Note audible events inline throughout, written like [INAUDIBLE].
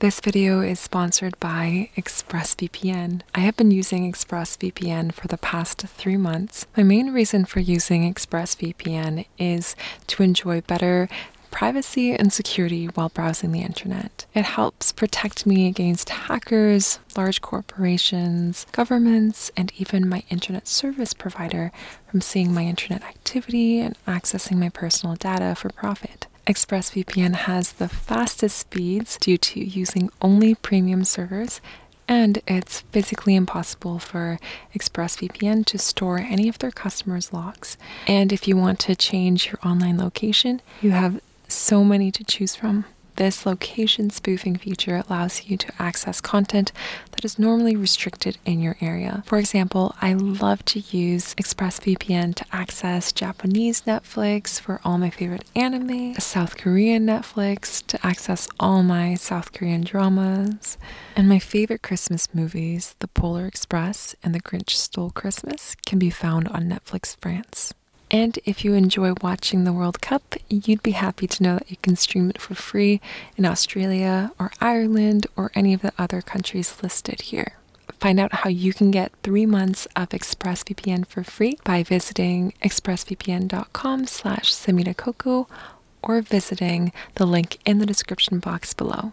This video is sponsored by ExpressVPN. I have been using ExpressVPN for the past three months. My main reason for using ExpressVPN is to enjoy better privacy and security while browsing the internet. It helps protect me against hackers, large corporations, governments, and even my internet service provider from seeing my internet activity and accessing my personal data for profit. ExpressVPN has the fastest speeds due to using only premium servers, and it's physically impossible for ExpressVPN to store any of their customers' logs. And if you want to change your online location, you have so many to choose from. This location spoofing feature allows you to access content that is normally restricted in your area. For example, I love to use ExpressVPN to access Japanese Netflix for all my favorite anime, South Korean Netflix to access all my South Korean dramas, and my favorite Christmas movies, The Polar Express and The Grinch Stole Christmas, can be found on Netflix France. And if you enjoy watching the World Cup, you'd be happy to know that you can stream it for free in Australia or Ireland or any of the other countries listed here. Find out how you can get three months of ExpressVPN for free by visiting expressvpn.com slash samitakoku or visiting the link in the description box below.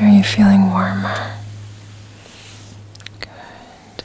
Are you feeling warmer? Good, good.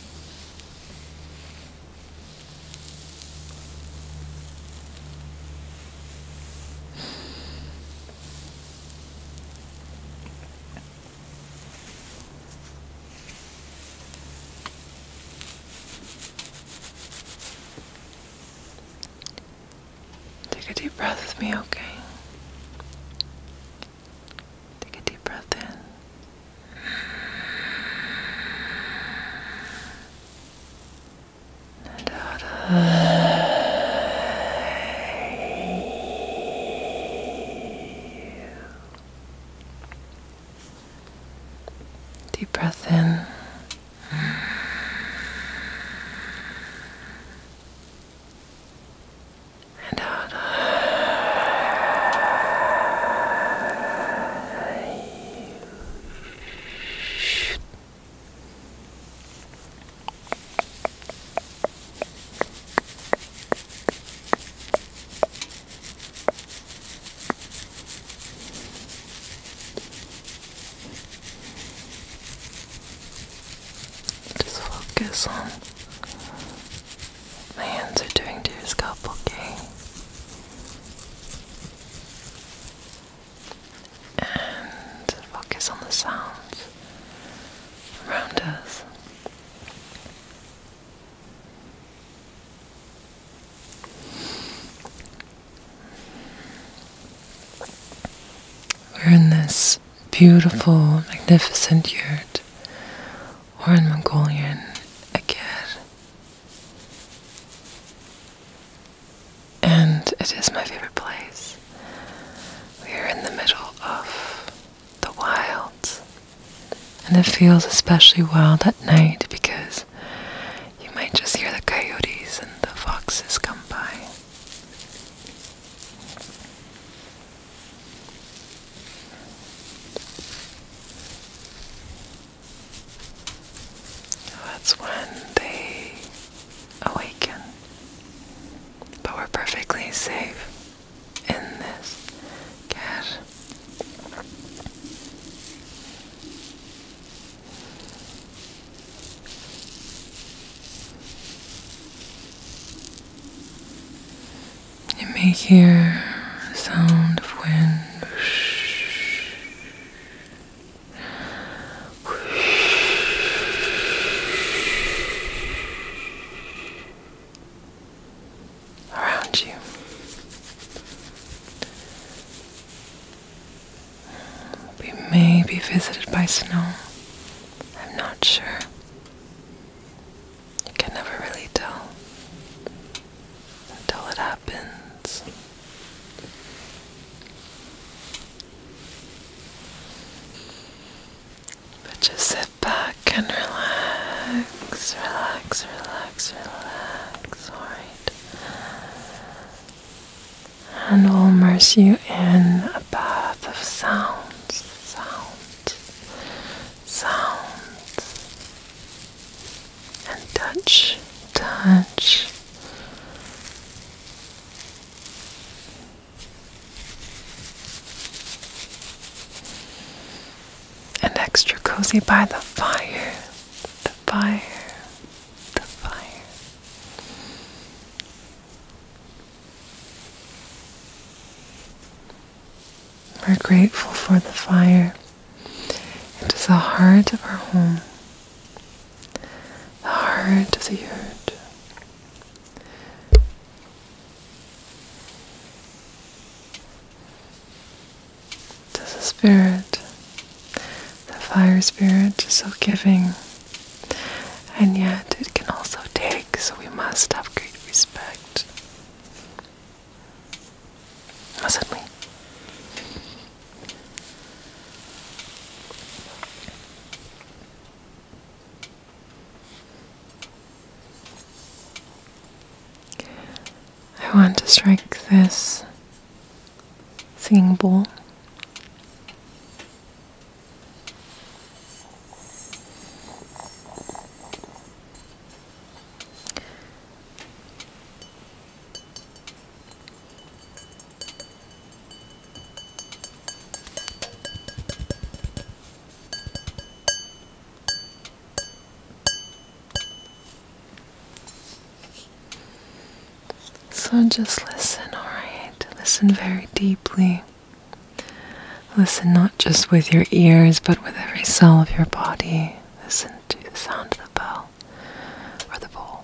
Take a deep breath with me, okay? Take a deep breath in. deep breath in and I Just focus on my hands are doing to your scalp, okay? And focus on the sounds around us. We're in this beautiful, magnificent yurt, or in Mongolian, again, And it is my favorite place. We are in the middle of the wilds, and it feels especially wild at night because you might just hear the coyotes and the foxes come by. Oh, that's when they awaken. But we're perfectly safe in this cat. You may hear the sound of wind. Around you, we may be visited by snow. I'm not sure. You can never really tell until it happens. But just sit back and relax, relax, relax, relax, alright. And we'll immerse you in a bath of sounds, sounds, sounds and touch, touch. And extra cozy by the fire, the fire, the fire. We're grateful for the fire. It is the heart of our home, the heart of the earth. To the spirit, the fire spirit is so giving, and yet it can also take so we must have great respect. Mustn't we? I want to strike this singing bowl so just listen, alright? Listen very deeply. Listen not just with your ears, but with every cell of your body. Listen to the sound of the bell or the bowl.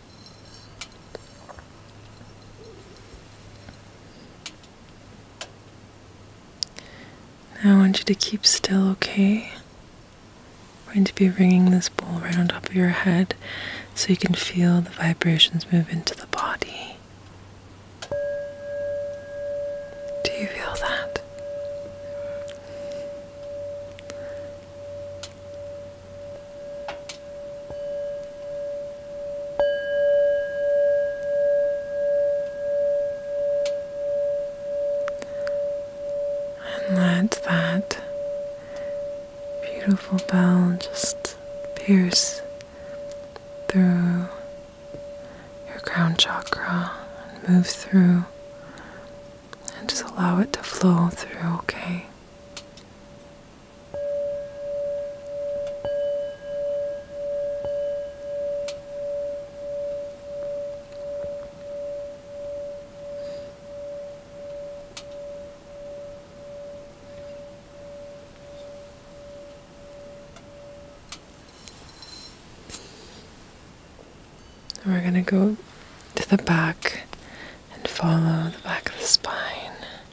Now I want you to keep still, okay? I'm going to be ringing this bowl right on top of your head so you can feel the vibrations move into the body. Do you feel that? And let that beautiful bell just pierce through your crown chakra and move through and just allow it to flow through, okay? we're going to go to the back and follow the back of the spine.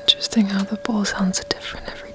Interesting how the ball sounds different every time.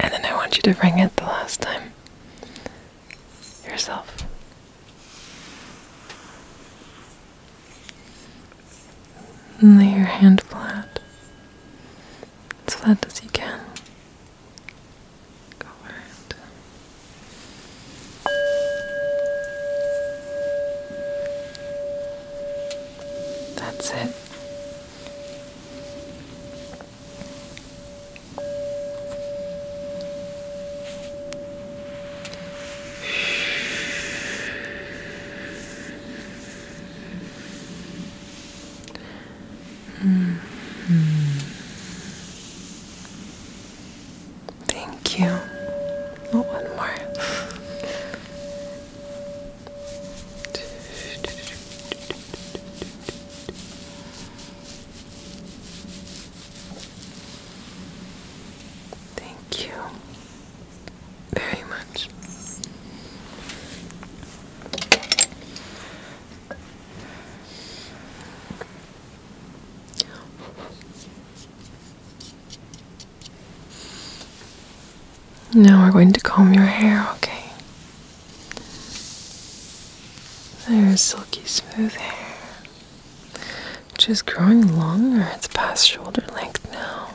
And then I want you to ring it the last time yourself. lay your hand flat, as flat as you can colored. That's it. Thank you. Oh, one more. Thank you very much. Now we're going to comb your hair, okay? There's silky smooth hair, just growing longer. It's past shoulder length now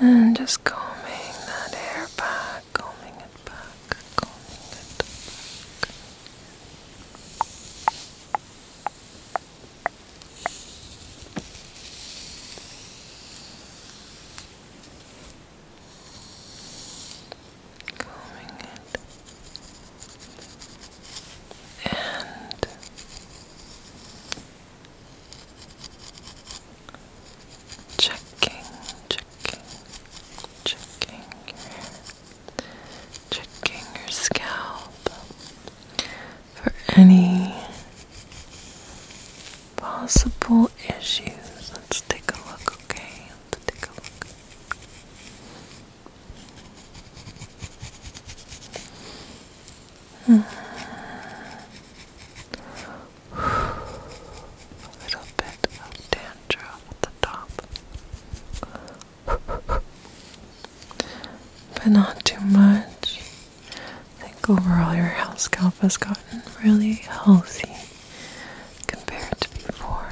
And just combing that hair back, combing it back, combing it back. Combing it and checking, checking, checking your checking your scalp for any possible issues. Let's take a look, okay? Let's take a look. [SIGHS] A little bit of dandruff at the top. [SIGHS] but not too much. I think overall your house scalp has gotten really healthy compared to before.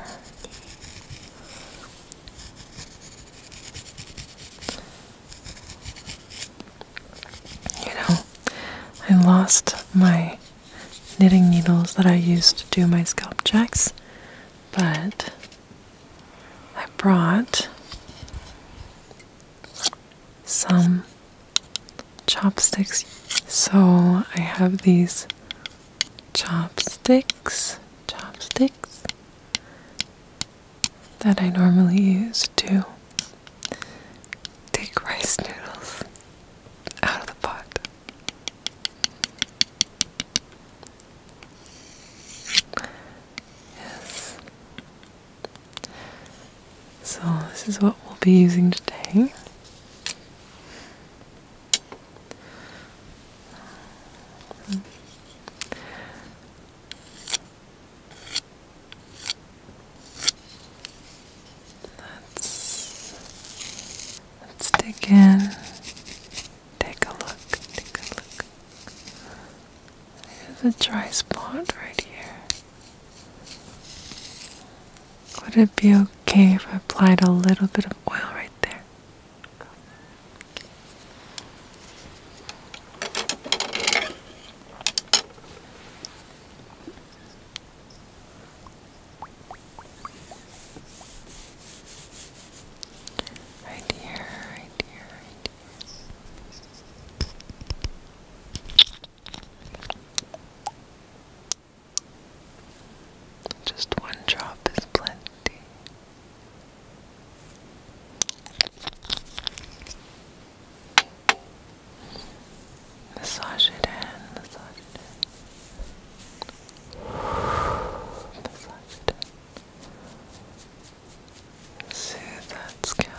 You know, I lost my knitting needles that I used to do my scalp checks, but I brought some chopsticks. So I have these chopsticks, chopsticks, that I normally use to take rice noodles out of the pot. Yes. So, this is what we'll be using today. Let's let's dig in. Take a look. Take a look. There's a dry spot right here. Would it be okay if I applied a little bit of oil right there? Right here, right here, Just one drop is plenty. Massage it in, massage it Massage it Soothe that scalp.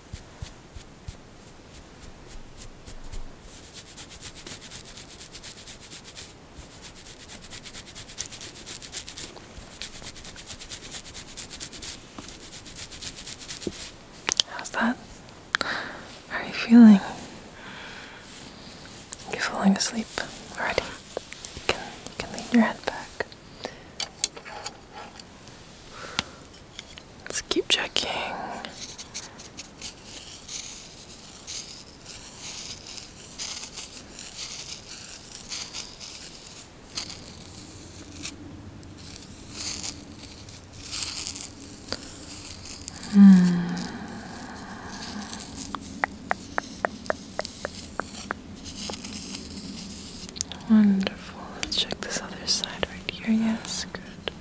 How's that? How are you feeling? You're falling asleep already. You can, you can lean your head back. Let's keep checking. Hmm. Wonderful. Let's check this other side right here. Yes, good.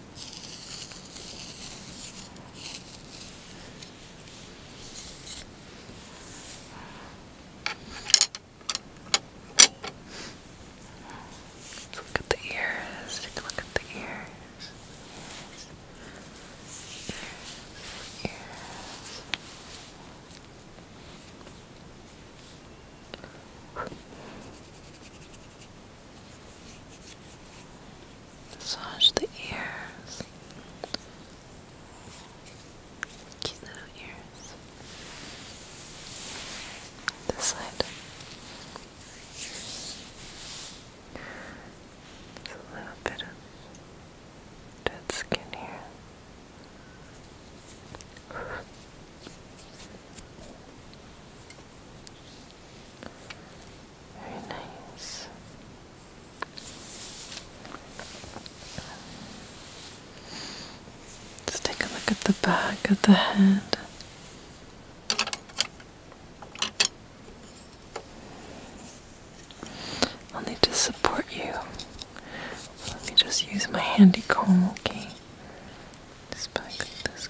Let's look at the ears. Take a look at the ears. Massage the ears. Cute little ears. This side. There's a little bit of dead skin here. Let's take a look at the back of the head. I'll need to support you. Let me just use my handy comb, okay? Just back like this,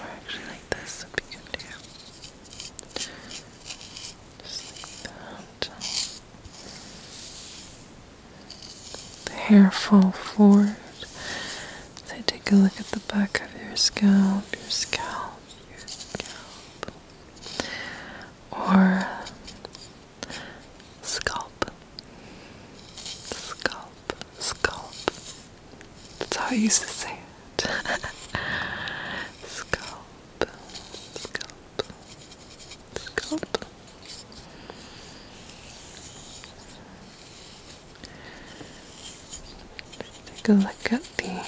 or actually like this would be good too. The hair fall forward. They take a look at the back of your scalp, your scalp, your scalp, or scalp, scalp, scalp, that's how I used to say it. [LAUGHS] scalp, scalp, scalp. take a look at the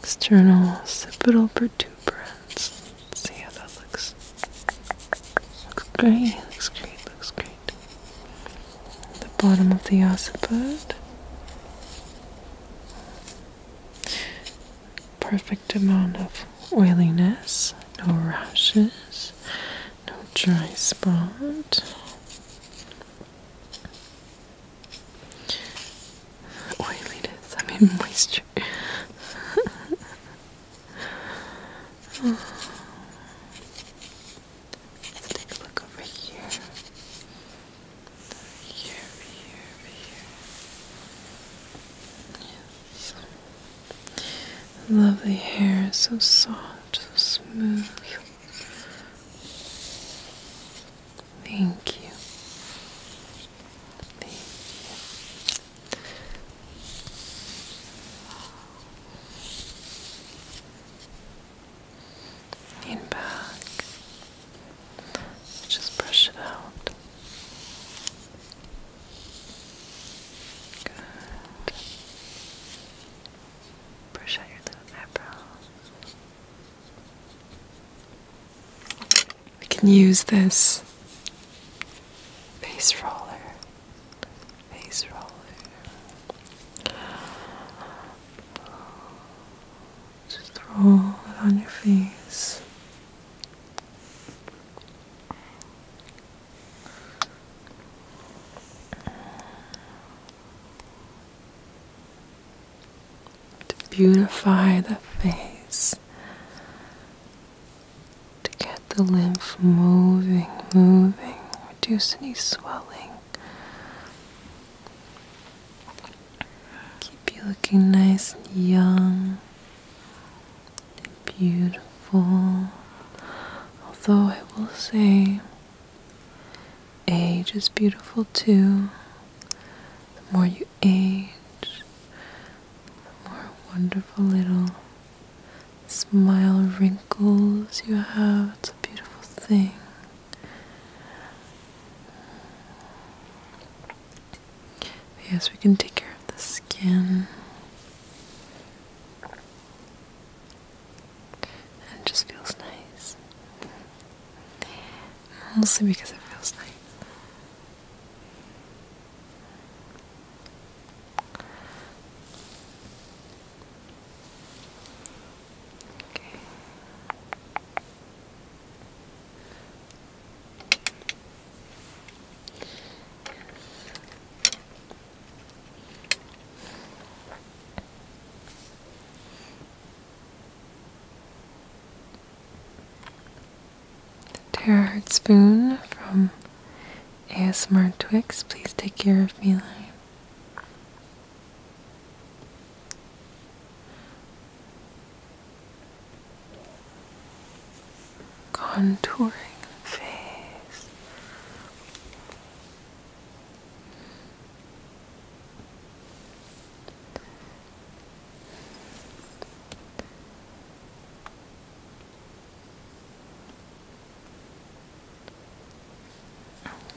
external occipital protuberance. see how that looks. Looks great, looks great, looks great the bottom of the occiput. Perfect amount of oiliness, no rashes, no dry spot. Oiliness, I mean moisture. [LAUGHS] Let's take a look over here. Over here, over here, Yes. Lovely hair, so soft, so smooth. Thank you and back. Just brush it out. Good. Brush out your little eyebrows. We can use this face roller. Face roller. Just roll it on your face. To beautify the face, to get the lymph moving, moving, reduce any swelling, Keep you looking nice and young and beautiful. Although I will say, age is beautiful too. The more you age, the more wonderful little smile wrinkles you have. It's a beautiful thing yes, we can take care of the skin. it just feels nice. Mostly because it feels nice. Okay. Tara Heart Spoon from ASmartwix, please take care of me, Lion contouring the face.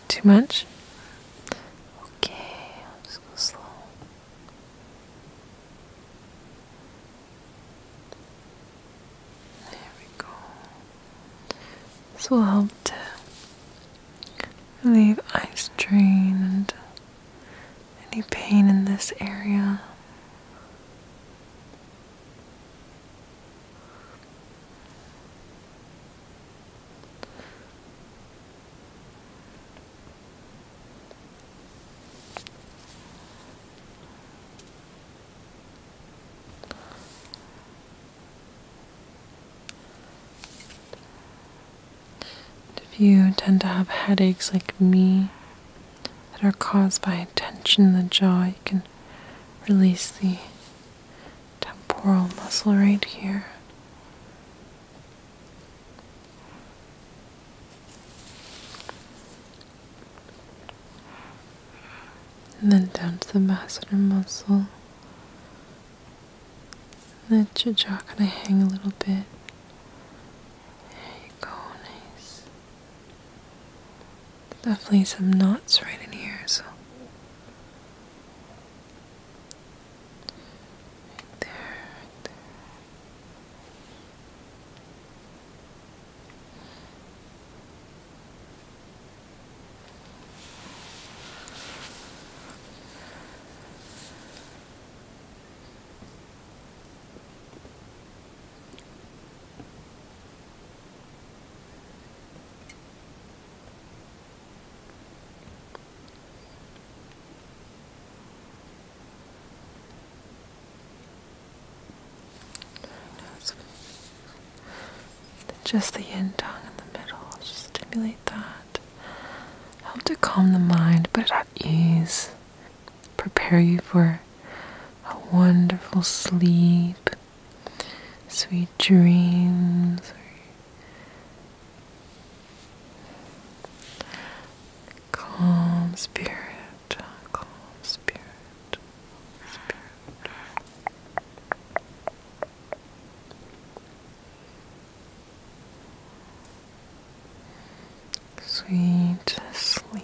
Too much? Okay, I'll just go slow. There we go. This will help to relieve eye strain and any pain in this area. If you tend to have headaches like me that are caused by tension in the jaw, you can release the temporal muscle right here. And then down to the masseter muscle. Let your jaw kind of hang a little bit. There you go, nice. Definitely some knots right in here, so Right there, right there. Just the yin tongue in the middle, just stimulate that. Help to calm the mind, but at ease, prepare you for a wonderful sleep sweet dreams. Calm spirit, calm spirit, spirit. Sweet sleep,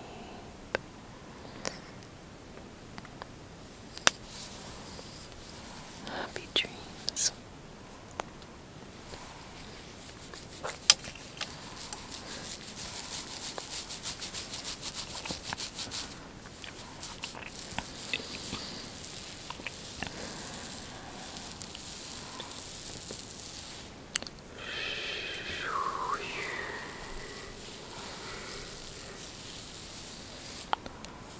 Happy dreams. Relax.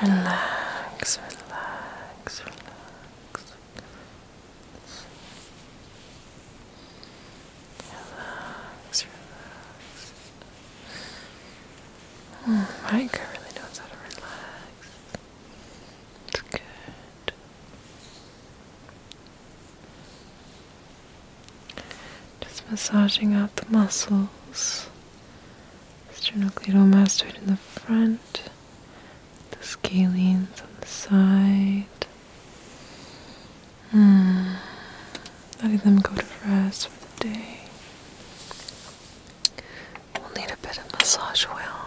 Relax, relax, relax. Relax, relax. Oh, my girl really knows how to relax. It's good. Just massaging out the muscles. Sternocleidomastoid in the front, the scalenes on the side. Mm. Letting them go to rest for the day. We'll need a bit of massage oil.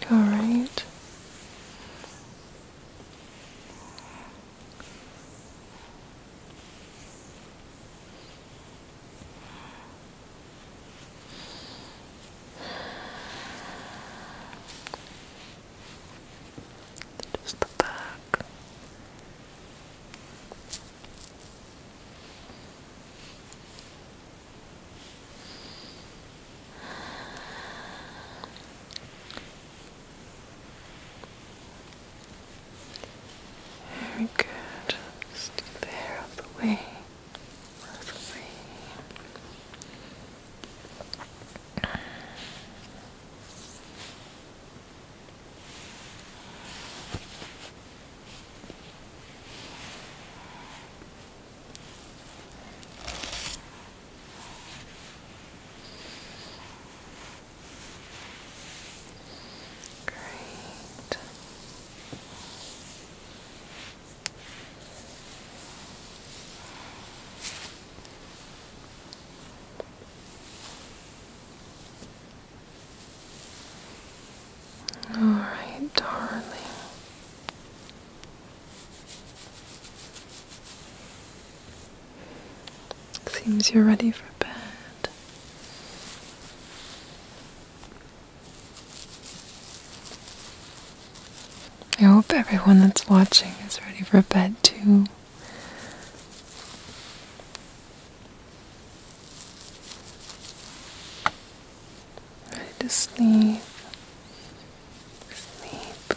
Good. All right. Just the back. Very good. Just do the the way. Out the way. Great. All right, darling. Seems you're ready for bed. I hope everyone that's watching is ready for bed too. Ready to sleep. Sleep.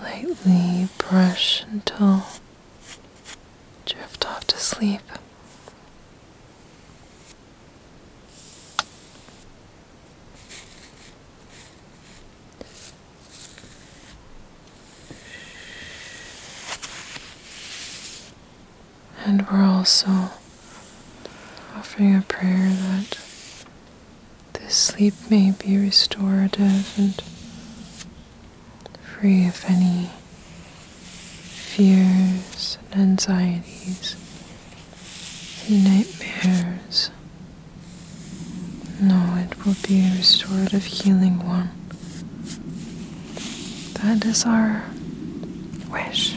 lightly brush until drift off to sleep. And we're also offering a prayer that this sleep may be restorative and free of any fears and anxieties and nightmares. No, it will be a restorative, healing one. That is our wish.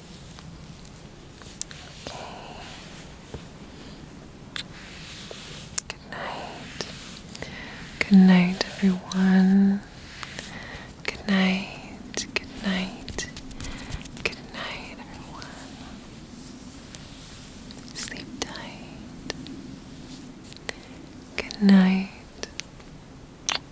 Okay. Good night. Good night, everyone. Good night. Good night. Good night, everyone. Sleep tight. Good night.